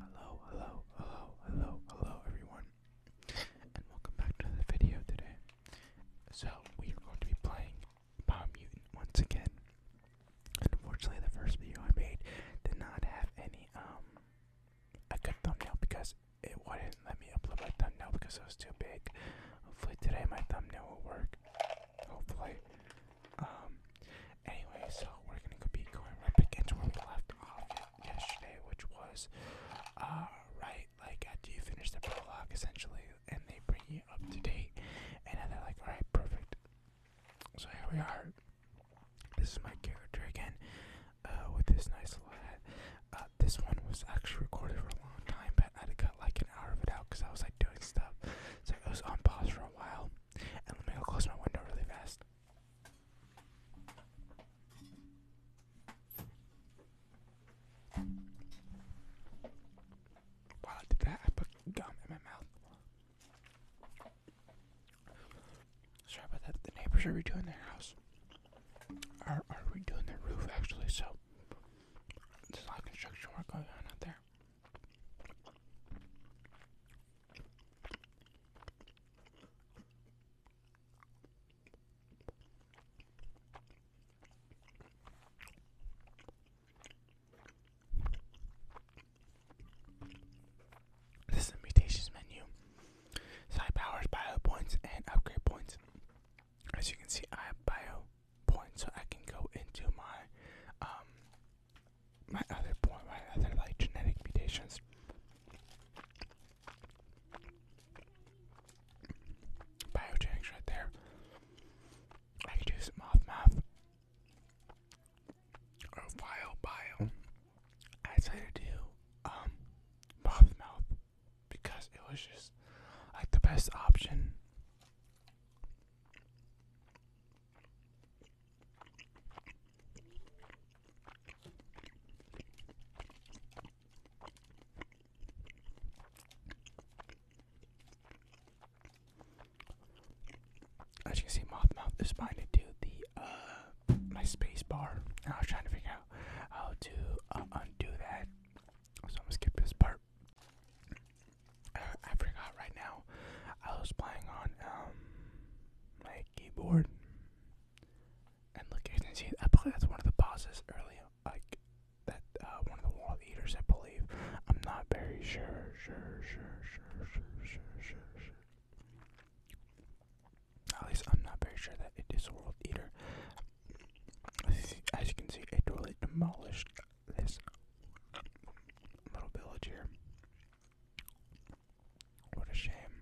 Hello, hello, hello, hello, hello, everyone, and welcome back to the video today. So, we are going to be playing Bomb Mutant once again. Unfortunately, the first video I made did not have any, um, a good thumbnail because it wouldn't let me upload my thumbnail because it was too big. Hopefully, today my thumbnail will work. Hopefully. Um, Anyway, so we're gonna be going right back into where we left off yesterday, which was, uh, right, like after you finish the prologue, essentially, and they bring you up to date, and then they're like, alright, perfect. So here we are. This is my character again, uh, with this nice hat. Uh, this one was actually recorded for a long time, but I had to cut like an hour of it out because I was like doing stuff, so I was on pause for a while. And let me go close my window really fast. While I did that, I put gum in my mouth. Sorry about that. The neighbors are redoing their house. Are are redoing their roof actually? So there's a lot of construction work going on out there. This is mutations menu. So powers bio points and upgrade points. As you can see, I have bio points, so I can go into my um my other point, my other like genetic mutations. Biojanks right there. I could do some moth math. Or bio bio. I decided to do moth um, mouth because it was just like the best option. As you can see, Mothmouth Mouth is minded to the uh my space bar, and I was trying to figure out how to uh, undo that. So I'm gonna skip this part. Uh, I forgot right now. I was playing on um, my keyboard and look you can see I believe that's one of the bosses early like that uh, one of the wall eaters I believe. I'm not very sure sure sure sure sure sure sure sure at least I'm not very sure that it is a world eater. As you can see, it totally demolished this little village here. What a shame.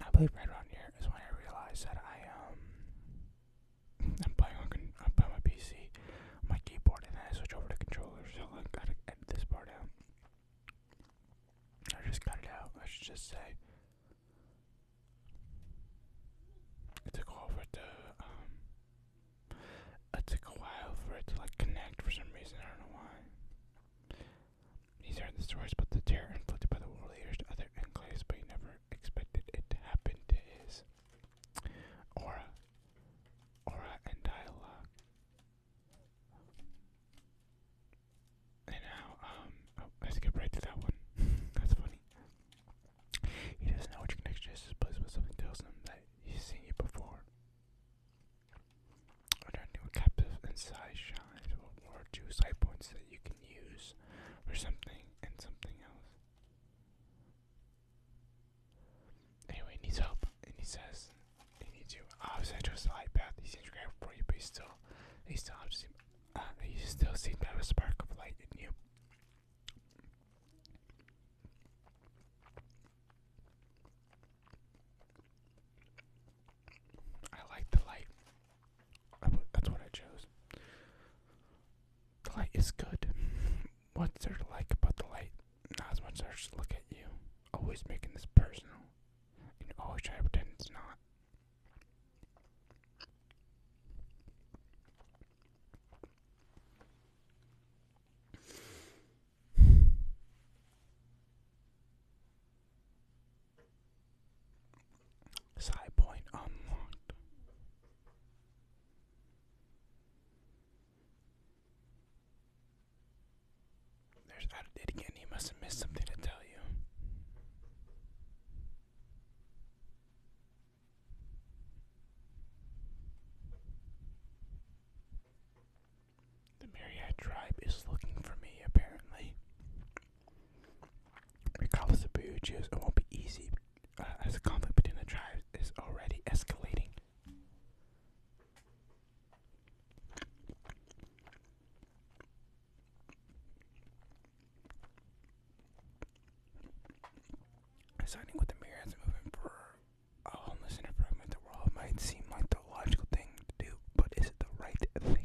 I believe right around here is when I realized that I um I'm playing on I'm playing my PC, my keyboard, and then I switch over to controller. So I gotta edit this part out. I just cut it out. I should just say it took over the um it took a while for it to like connect for some reason. I don't know why. He's heard the stories about the terror inflicted by the world leaders to other enclaves, but he never expected it to happen to his aura, aura and dialogue. And now, um, oh, I skipped right to that one. That's funny. He doesn't know which connection is but something tells him that he's seen it before. Under a captive inside shines or two side points that you can use for something and something else. Anyway, he needs help, and he says he needs you. Obviously, I chose the light path. He's seems grateful for you, but he still, he still, seem, uh, he still seems to have a spark of light in you. I like the light. that's what I chose. The light is good. What's there to like about the light? Not as much as I look at you. Always making this personal. And always try to pretend it's not. Side unlocked. There's I did again. He must have missed something to tell you. The Myriad tribe is looking for me, apparently. Regardless of who choose, it won't be easy, uh, as the conflict between the tribes is already escalating. Signing with the Myriads movement for a homeless center for mental overall might seem like the logical thing to do, but is it the right thing?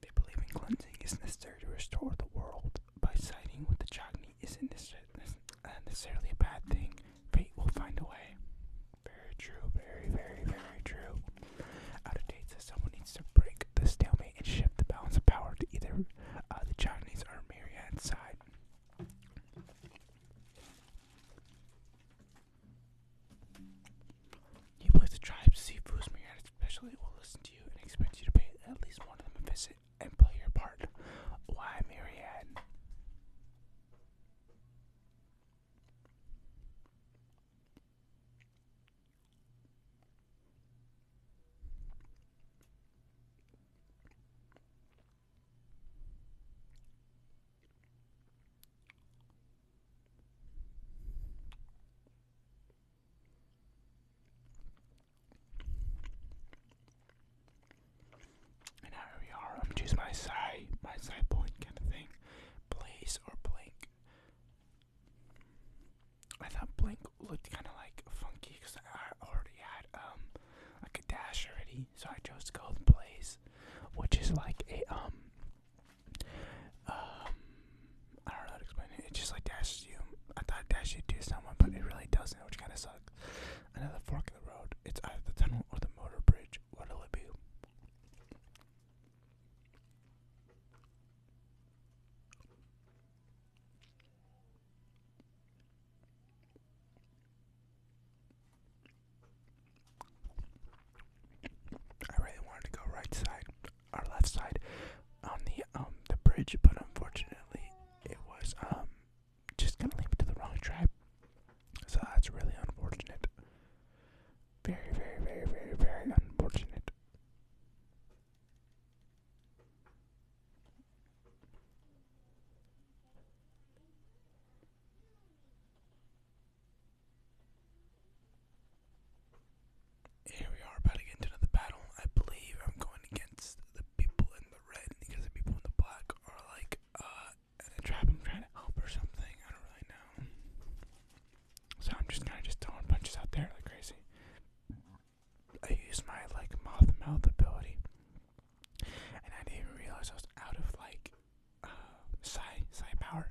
They believe in cleansing is necessary to restore the world. By citing what the Chagni isn't uh, necessarily a bad thing. Fate will find a way. Very true, very, very, very true. Out of date says someone needs to break the stalemate and shift the balance of power to either uh, the Chagni's or Myriad's side. He believes the tribe's See, seafood myriad especially will listen to you and expect you to pay at least one of them a visit and play your part. Why myriad? And here we are. I'm choose my side, my side point kind of thing. Blaze or blink. I thought blank looked kind of like funky because I already had um like a dash already, so I chose to go blaze, which is like a um um, I don't know how to explain it. It just like dashes you. I thought it dashed you someone, but it really doesn't, which kind of sucks. Another fork in the road. It's either the tunnel or the motor bridge. What'll it be? I really wanted to go right side or left side on the um the bridge, but unfortunately it was um just gonna leap to the wrong tribe. So that's really unfortunate. Very, very, very, very, very unfortunate. Here we are about to get into another battle. I believe I'm going against the people in the red because the people in the black are like uh, in a trap I'm trying to help or something. I don't really know. So I'm just kinda just throwing punches out there like crazy. I used my like mouth ability. And I didn't even realize I was out of like uh psi psi power.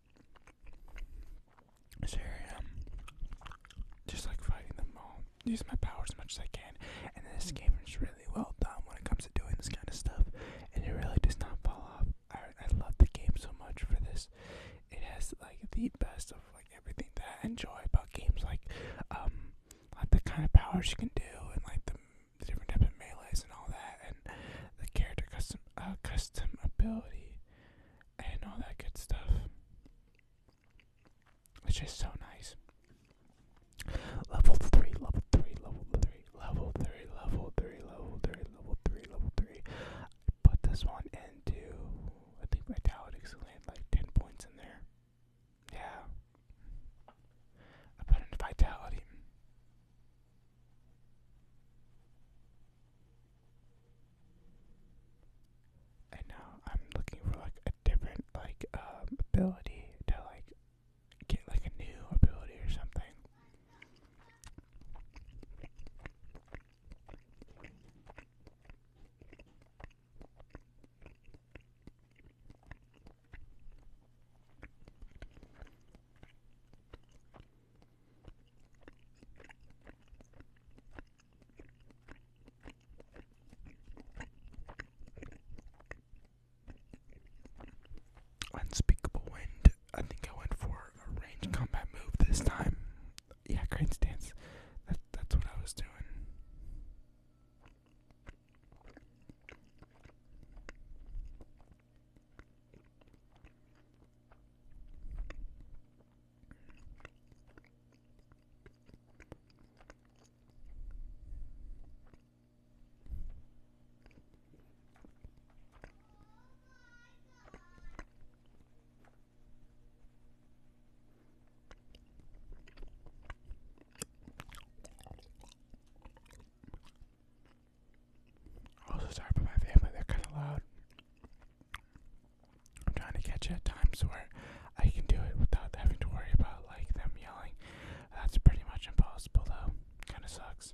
So here I am, um, just like fighting them all, using my powers as much as I can. And this hmm. game is really well done when it comes to doing this kind of stuff, and it really does not fall off. I, I love the game so much for this. It has like the best of like everything that I enjoy about games, like um, like the kind of powers you can do, and like the, different types of melee and all that, and the character custom uh, custom ability and all that good stuff. It's just so nice. Level three, level three, level three, level three, level three, level three, level three, level three. I put this one into I think Vitalix land like ten points in there. Yeah. I put in Vitality. And now I'm looking for like a different like um, ability to like get like a new ability or something. Unspeakable Wind. I think I went for a range combat move this time. Yeah, crane stance. That, that's what I was doing. Also sorry about my family, they're kinda loud. I'm trying to catch it at times where I can do it without having to worry about like them yelling. That's pretty much impossible though. Kinda sucks.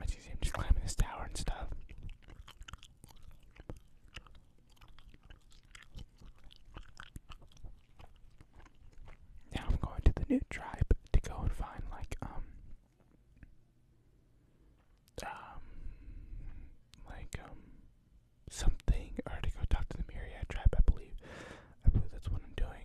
I see him just climbing this tower and stuff. Now I'm going to the new tribe to go and find like um um like um something or to go talk to the Myriad tribe I believe. I believe that's what I'm doing.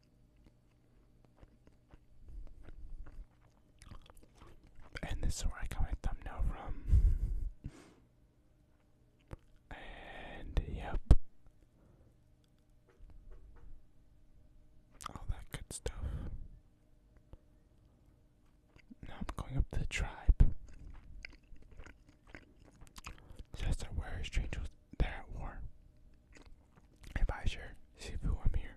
And this is where I got my thumbnail from. and yep. All that good stuff. Now I'm going up the tribe. Says where strangers they're at war. Advisor, see who I'm here.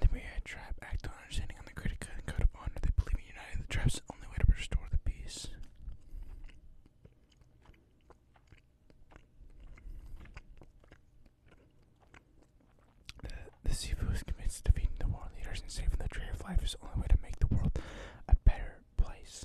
The Myriad tribe act on understanding on the greater code of honor. They believe in united the tribe's the only way to restore the peace. The, the Sifu is convinced to defeating the war leaders and saving the tree of life is the only way to make the world a better place.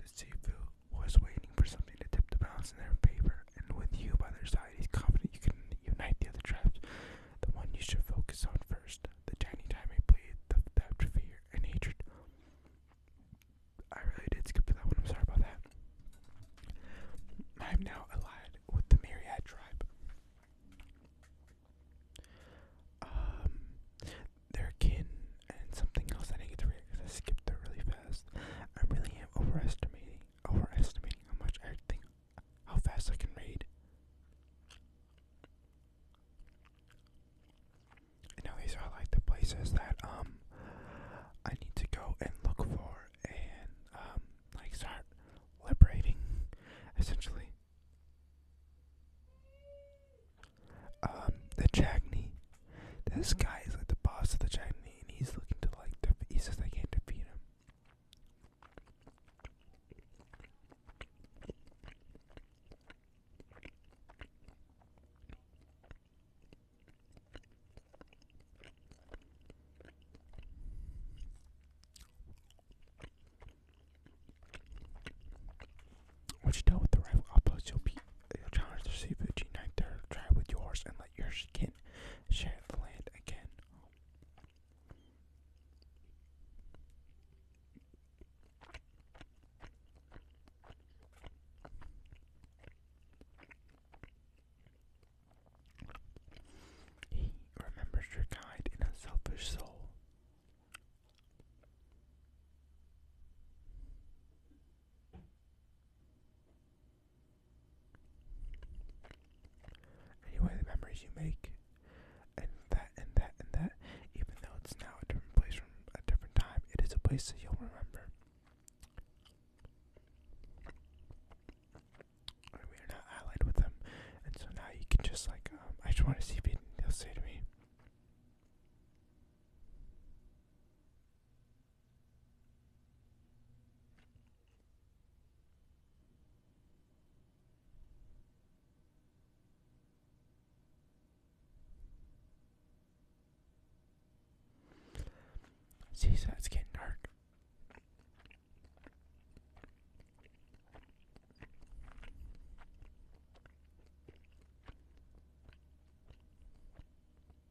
The seafood was waiting for something to tip the balance in their favor and with you by their side, he's confident you can unite the other tribes. The one you should focus on first. The tiny time I played the theft, and hatred. I really did skip that one. I'm sorry about that. I am now allied with the Myriad tribe. Um, their kin and something else I did to read I skipped that really fast. I really am overestimating overestimating how much I think, how fast I can read. now these are like the places that um I need to go and look for and um like start liberating essentially. Um, the Chagny. This mm-hmm. guy is like the boss of the Chagny and he's looking to like defeat. he says I can't defeat him. Once you dealt with the rival opponents, you'll be you'll challenge their seafood. Unite their tribe with yours and let yours get share the land again. He remembers your guide in a selfish soul. Anyway, the memories you make, and that, and that, and that, even though it's now a different place from a different time, it is a place that you'll remember. I are not allied with them, and so now you can just like, um, I just want to see if he'll say to me. Jeez, that's getting dark.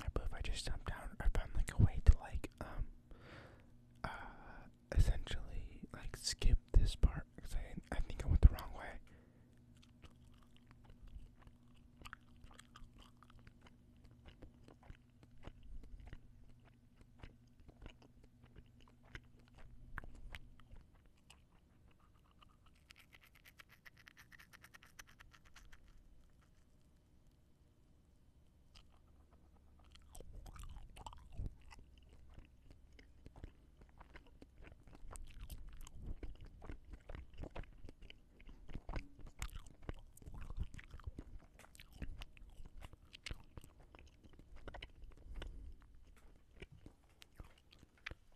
I believe I just jumped down or found like a way to like um uh essentially like skip this part because I, I think I went the wrong way.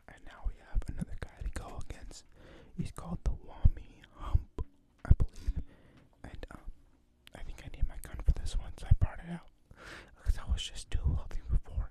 And now we have another guy to go against. He's called the Wami Hump, I believe. And um I think I need my gun for this one, so I brought it out. Because I was just too healthy before.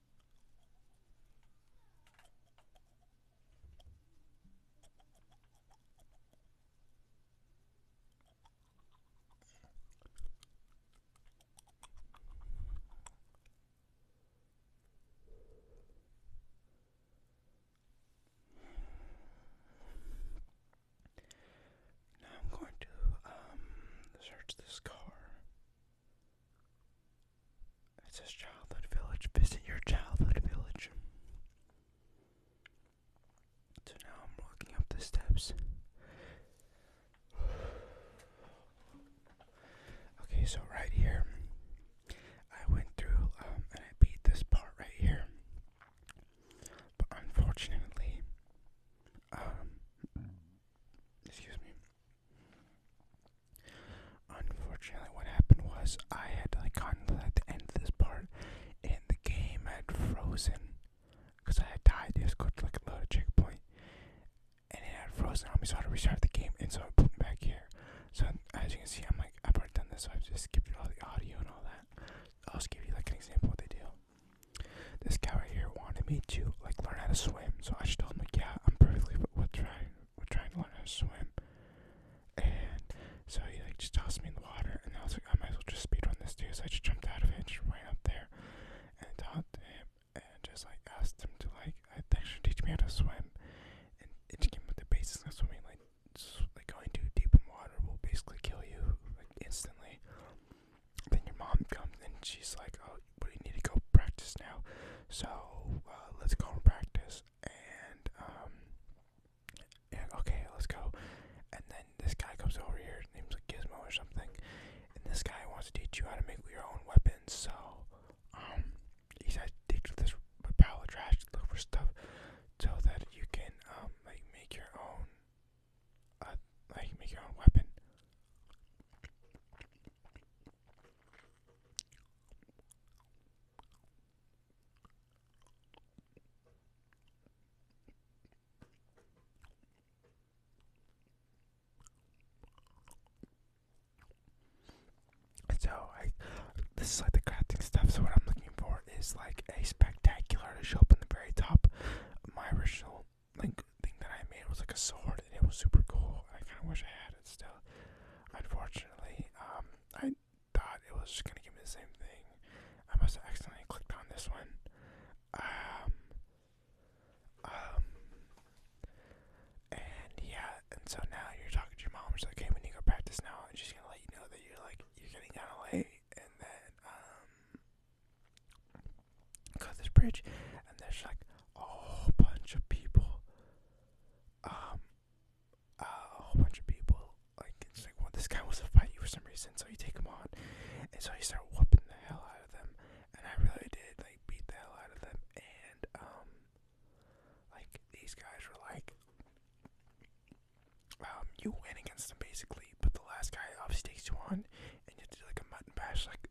Now I'm going to um, search this car it's says childhood village. Visiting your childhood village. So now I'm walking up the steps. Okay, so right here, I went through um, and I beat this part right here. But unfortunately, um, excuse me, Unfortunately, what happened was I had like gotten to the end of this part, and the game had frozen because I had died. It was going to like a load of checkpoint, and it had frozen on me, so I had to restart the game, and so I put me back here. So as you can see, I'm like I've already done this, so I've just skipped all the audio and all that. I'll just give you like an example of what they do. This guy right here wanted me to like learn how to swim, so I just told him like, yeah, I'm perfectly with, with trying with trying to learn how to swim. And so he like just tossed me in the water, and I was like, I might as well just speedrun this too. So I just jumped out of it and just ran up there and talked to him and just like asked him to like uh, actually teach me how to swim and it just came with the basics of swimming like like going too deep in water will basically kill you like instantly then your mom comes and she's like, "Oh, we need to go practice now." So uh, let's go and practice. And um, yeah, okay, let's go. And then this guy comes over here. His name's like Gizmo or something. And this guy wants to teach you how to make your own weapons. So um, he says, dig through this pile of trash, look for stuff, so that you can um, like make your own uh, like make your own weapon. So I, this is like the crafting stuff. So what I'm looking for is like a spectacular to show up on the very top. My original like thing that I made was like a sword, and it was super cool. I kind of wish I had it still. Unfortunately, um, I thought it was just gonna give me the same thing. I must have accidentally clicked on this one. Um, um, and yeah, and so now you're talking to your mom. She's like, "Hey, we need to go practice now," and she's gonna let you know that you're like you're getting kind of late, and then um, Cut this bridge, and there's like a whole bunch of people. Um, a whole bunch of people. Like it's like, well, this guy wants to fight you for some reason, so you take him on, and so you start whooping the hell out of them. And I really did They beat the hell out of them, and um, like these guys were like, um, you win against them basically, but the last guy obviously takes you on, and you have to do like a mutton bash, like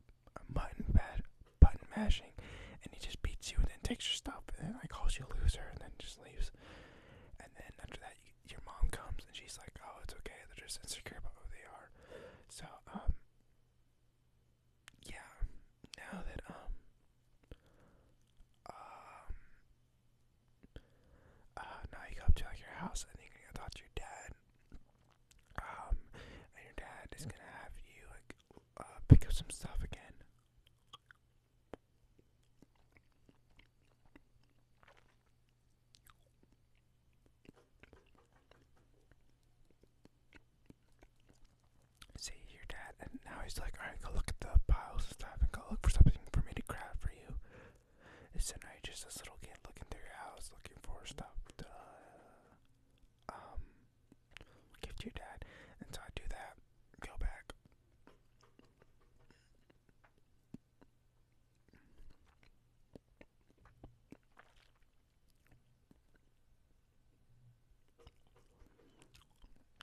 button bad button mashing, and he just beats you and then takes your stuff and then like calls you a loser and then just leaves. And then after that, you, your mom comes and she's like, "Oh, it's okay. They're just insecure about who they are." So um, yeah. Now that um, um, uh, now you go up to like your house and you can go talk to your dad. Um, and your dad is gonna have you like uh, pick up some stuff again. See your dad, and now he's like, "All right, go look at the piles of stuff, and go look for something for me to grab for you." It's so now just a little kid looking through your house, looking for stuff. To, uh, um, gift your dad. And so I do that, go back.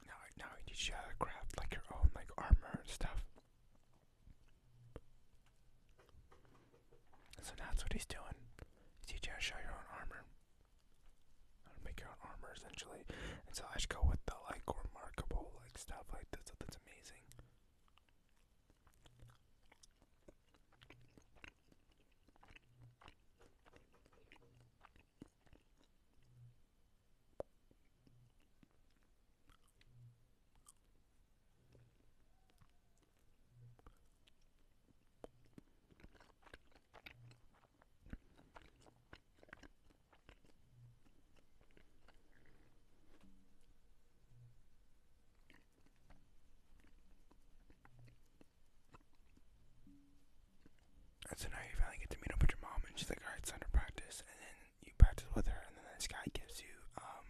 Now, now you should craft like your own like armor and stuff. So now that's what he's doing. He's teaching you how to show your own armor. How make your own armor, essentially. And so I should go with the, like, remarkable, like, stuff like this. That's amazing. And so now you finally get to meet up with your mom, and she's like, "All right, it's to practice." And then you practice with her, and then this guy gives you um,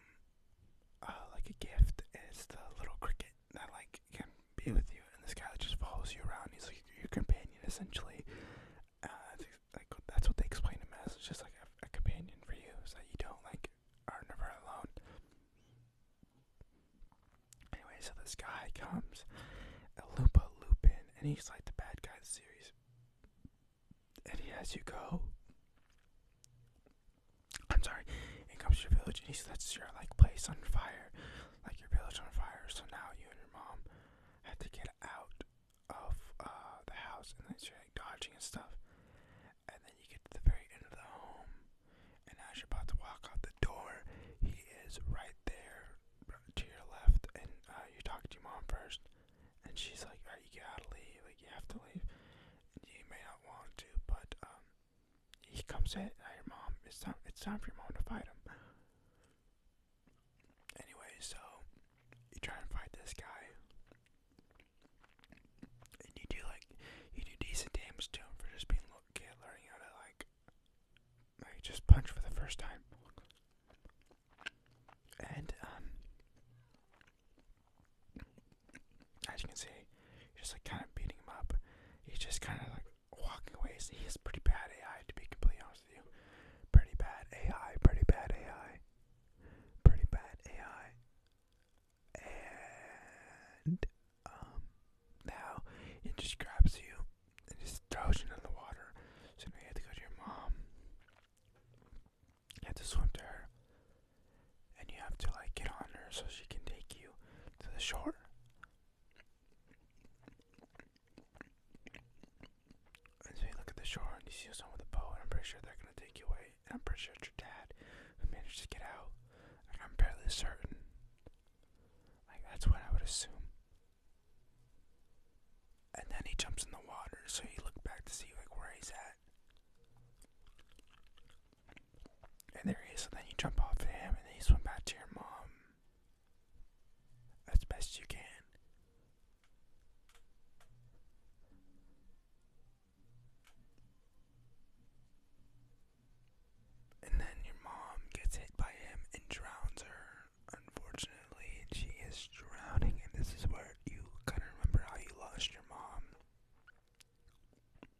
uh, like a gift, is the little cricket that like can be with you. And this guy just follows you around. He's like your companion essentially. Uh, like that's what they explain him as. It's just like a, companion for you, so that you don't like are never alone. Anyway, so this guy comes, Lupa Lupin, and he's like the bad guy the series. And he has you go I'm sorry, it comes to your village and he sets your like place on fire, like your village on fire. So now you and your mom have to get out of uh, the house, and then you're like dodging and stuff. And then you get to the very end of the home, and as you're about to walk out the door, he is right there to your left, and uh, you talk to your mom first, and she's like, "All right, you gotta leave. Like you have to leave. You may not want to, but um." he comes in at your mom. It's time. It's time for your mom to fight him. Anyway, so you try and fight this guy, and you do like you do decent damage to him for just being little kid learning how to like like just punch for the first time. And um, as you can see, just like kind of beating him up. He's just kind of like walking away. So he is pretty bad AI, to be completely honest with you. Pretty bad AI. Pretty bad AI. Pretty bad AI. And um, now it just grabs you and just throws you in the water. So now you have to go to your mom. You have to swim to her and you have to like get on her so she can take you to the shore. And so you look at the shore and you see someone with a boat, and I'm pretty sure they're gonna take you away. And I'm pretty sure it's your dad who managed to get out. I'm fairly certain. Like that's what I would assume. And then he jumps in the water, so you look back to see like where he's at. And there he is, so then you jump off of him and then you swim back to your mom as best you can. And then your mom gets hit by him and drowns her. Unfortunately, she is drowning, and this is where you kind of remember how you lost your mom.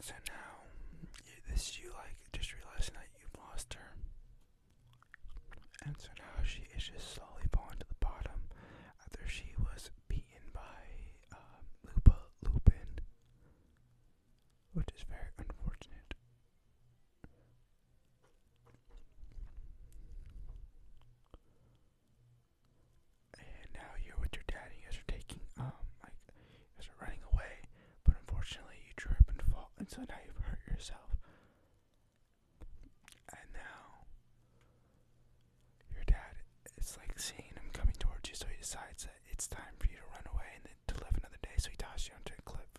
So now, you, this you like just realizing that you've lost her. And so now she is just slowly falling to the bottom after she was beaten by um, Lupa Lupin, which is very unfortunate. And now you're with your dad, and you guys are taking, um, like, you were running away, but unfortunately you trip and fall, and so now you've hurt yourself. And now your dad is like seeing him coming towards you, so he decides that it's time for you to run away and to live another day, so he tosses you onto a cliff.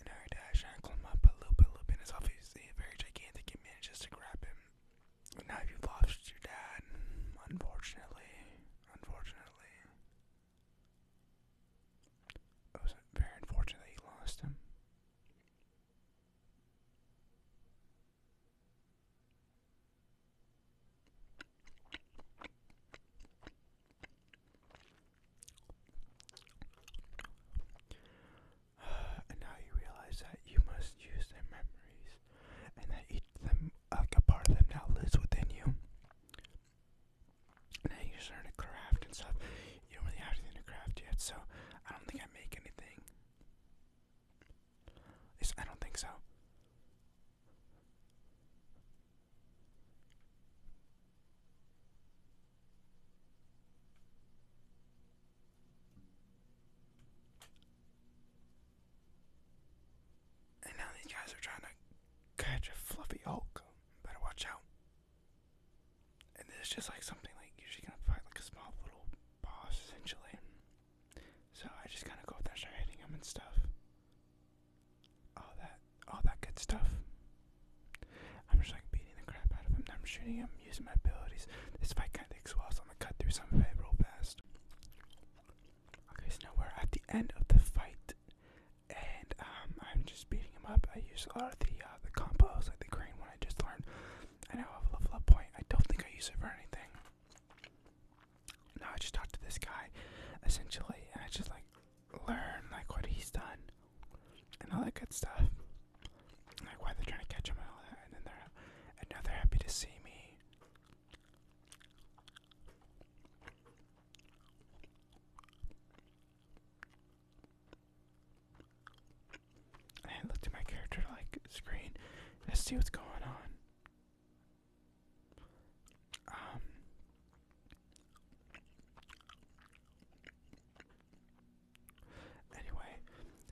And now your dad's climb up a little bit, little bit, and it's obviously a very gigantic he to grab him. And now you've lost your dad, unfortunately. Unfortunately. It was very unfortunate you lost him. and now you realize that you must use their memories, and that each like a part of them now lives within you. And then you start to craft and stuff. You don't really have anything to craft yet, so I don't think I make anything. I don't think so. And now these guys are trying to catch a fluffy Hulk. Better watch out. And it's just like something like usually gonna fight like a small little boss essentially. So I just kinda go up there and start hitting him and stuff. All that all that good stuff. I'm just like beating the crap out of him. I'm shooting him, using my abilities. This fight kind of takes a so I'm gonna cut through some of it real fast. Okay, so now we're at the end of the fight, and um, I'm just beating him up. I use a lot of the uh, the combos, like the green one I just learned. I now have a level up point. I don't think I use it for anything. Now I just talk to this guy, essentially, and I just like learn like what he's done and all that good stuff. Like why they're trying to catch him and all that, and then they're now they're happy to see me. And I looked at my character like screen. Let's see what's going on. Um, Anyway,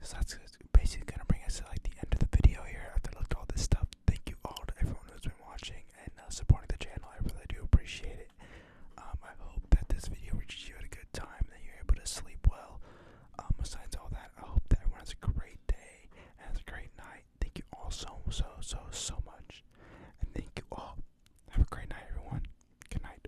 so that's basically gonna bring us to like the end of the video here. After I looked at all this stuff, thank you all to everyone who's been watching and uh, supporting the channel. I really do appreciate it. Um, I hope that this video reaches you at a good time, that you're able to sleep well. Um, besides all that, I hope that everyone has a great day and has a great night. Thank you all so so so so much, and thank you all. Have a great night, everyone. Good night.